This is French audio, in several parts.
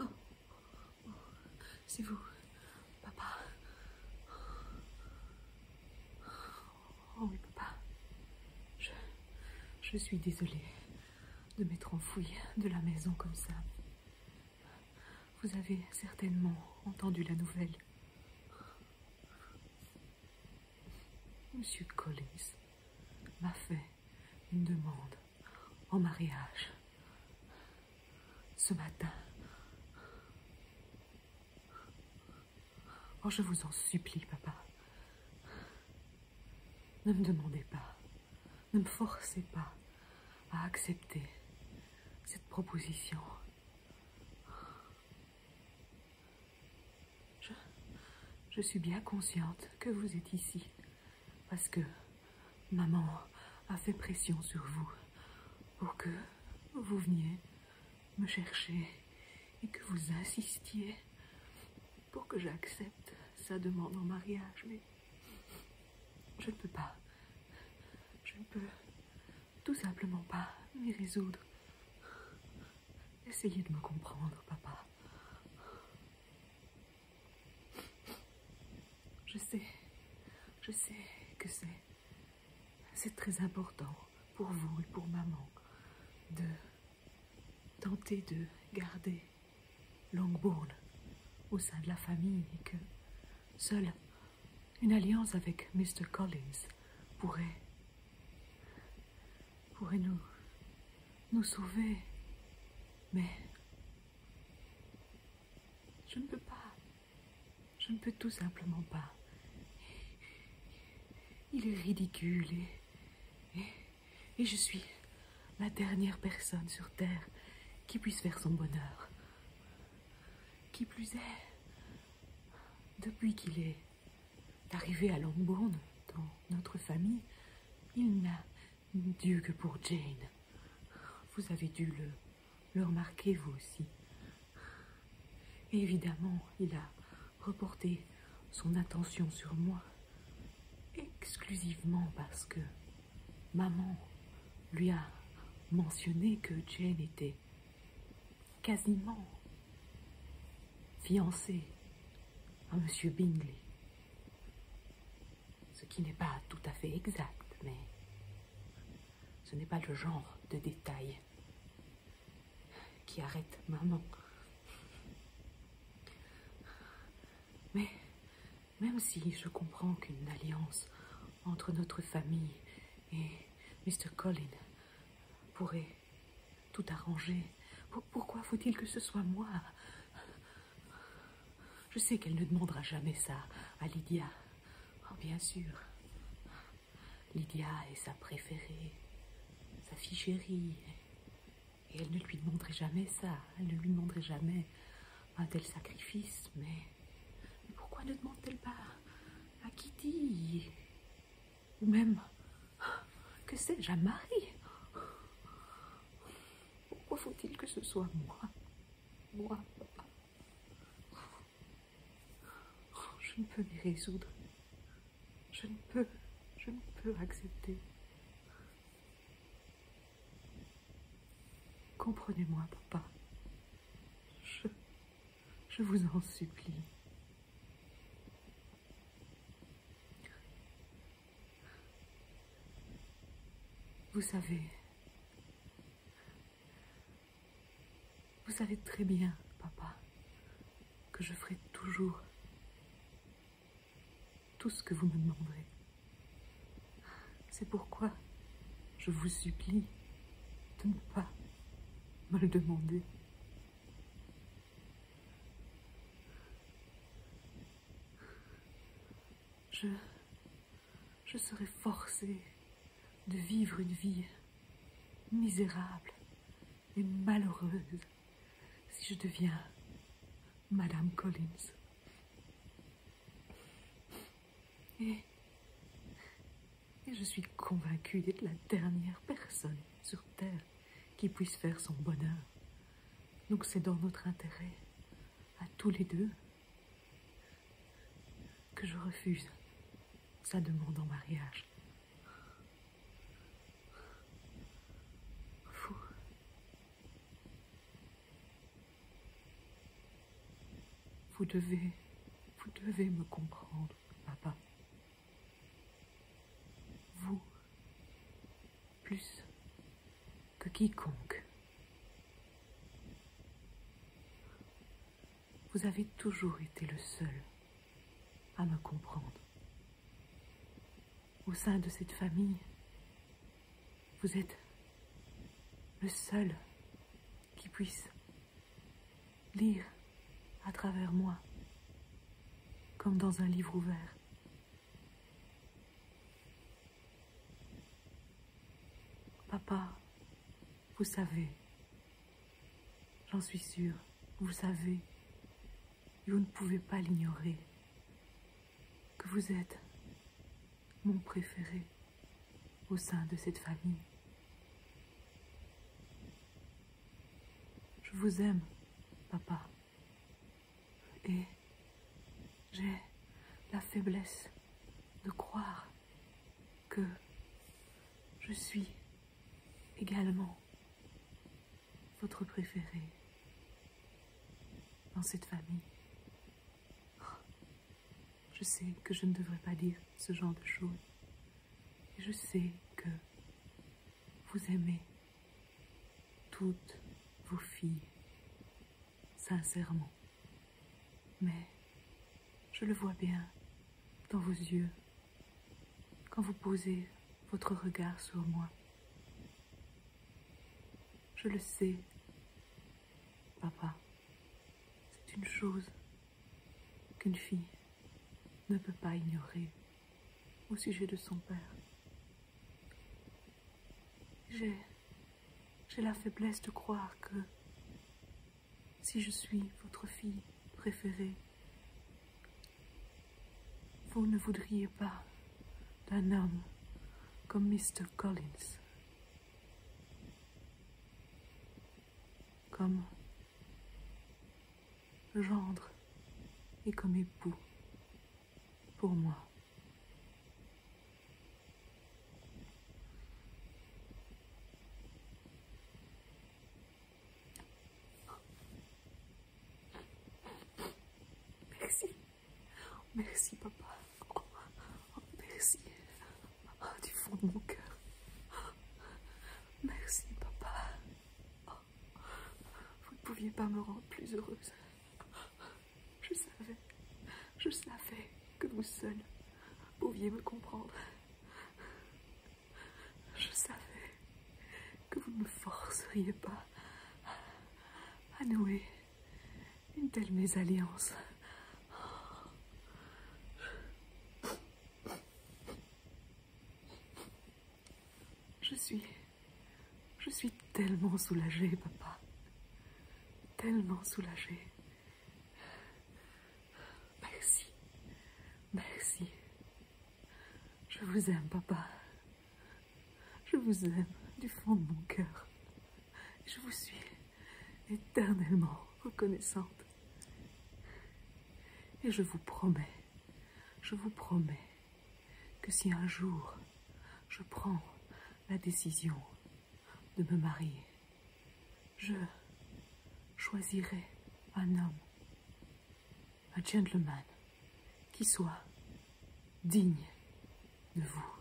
Oh, c'est vous, papa. Oh papa. Je, je suis désolée de m'être enfouie de la maison comme ça. Vous avez certainement entendu la nouvelle. Monsieur Collins m'a fait une demande en mariage ce matin. Oh, je vous en supplie, papa. Ne me demandez pas ne me forcez pas à accepter cette proposition. Je, suis bien consciente que vous êtes ici parce que maman a fait pression sur vous pour que vous veniez me chercher et que vous insistiez pour que j'accepte ça demande en mariage, mais je ne peux pas. Je ne peux tout simplement pas m'y résoudre. Essayez de me comprendre, papa. Je sais, je sais que c'est c'est très important pour vous et pour maman de tenter de garder Longbourn au sein de la famille et que seule une alliance avec Mr. Collins pourrait, nous, sauver. Mais je ne peux pas. Je ne peux tout simplement pas. Il est ridicule et et je suis la dernière personne sur Terre qui puisse faire son bonheur. Qui plus est, depuis qu'il est arrivé à Lambourne, dans notre famille, il n'a Dieu que pour Jane. Vous avez dû le, remarquer vous aussi. évidemment, il a reporter son attention sur moi exclusivement parce que maman lui a mentionné que Jane était quasiment fiancée à Monsieur Bingley. Ce qui n'est pas tout à fait exact, mais ce n'est pas le genre de détail qui arrête maman. Mais même si je comprends qu'une alliance entre notre famille et Mr. Colin pourrait tout arranger, pourquoi faut-il que ce soit moi Je sais qu'elle ne demandera jamais ça à Lydia. Oh, bien sûr. Lydia est sa préférée, sa fille chérie. Et elle ne lui demanderait jamais ça, elle ne lui demanderait jamais un tel sacrifice, mais, pourquoi ne demande-t-elle pas à Kitty Ou même, que sais-je, à Marie Pourquoi faut-il que ce soit moi Moi, Je ne peux m'y résoudre. Je ne peux, je ne peux accepter. Comprenez-moi, papa. Je, je vous en supplie. Vous savez, vous savez très bien, papa, que je ferai toujours tout ce que vous me demanderez. C'est pourquoi je vous supplie de ne pas me le demander. Je, je serai forcée de vivre une vie misérable et malheureuse si je deviens Madame Collins. Et, je suis convaincue d'être la dernière personne sur Terre qui puisse faire son bonheur. Donc c'est dans notre intérêt, à tous les deux, que je refuse sa demande en mariage. Vous devez, vous devez me comprendre, papa. Vous, plus que quiconque vous avez toujours été le seul à me comprendre. Au sein de cette famille, vous êtes le seul qui puisse lire à travers moi, comme dans un livre ouvert. Papa, vous savez. J'en suis sûre. Vous savez. vous ne pouvez pas l'ignorer. Que vous êtes mon préféré au sein de cette famille. Je vous aime, papa. Et j'ai la faiblesse de croire que je suis également votre préférée dans cette famille. Je sais que je ne devrais pas dire ce genre de choses. je sais que vous aimez toutes vos filles sincèrement. Mais je le vois bien dans vos yeux, quand vous posez votre regard sur moi. Je le sais, papa, c'est une chose qu'une fille ne peut pas ignorer au sujet de son père. J'ai j'ai la faiblesse de croire que si je suis votre fille préférée, vous ne voudriez pas d'un homme comme Mr. Collins, comme gendre et comme époux pour moi. Merci. Merci, papa. merci. du fond de mon cœur. Merci, papa. Vous ne pouviez pas me rendre plus heureuse. Je savais, je savais que vous seul pouviez me comprendre. Je savais que vous ne me forceriez pas à nouer une telle mésalliance. Je suis... Je suis tellement soulagée, papa tellement soulagée. Merci. Merci. Je vous aime, papa. Je vous aime du fond de mon cœur. Je vous suis éternellement reconnaissante. Et je vous promets, je vous promets que si un jour je prends la décision de me marier. Je choisirai un homme, un gentleman, qui soit digne de vous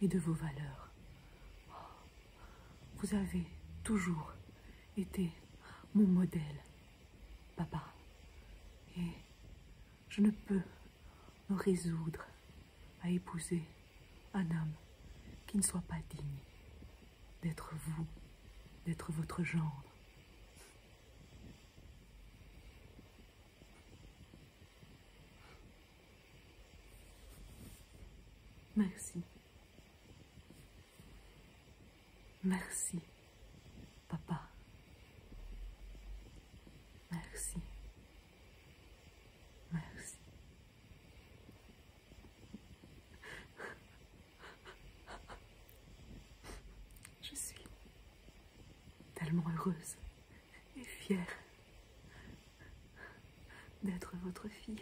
et de vos valeurs. Vous avez toujours été mon modèle, papa. Et je ne peux me résoudre à épouser un homme qui ne soit pas digne d'être vous, d'être votre genre. Merci. Merci, papa. Merci. Merci. Je suis tellement heureuse et fière d'être votre fille.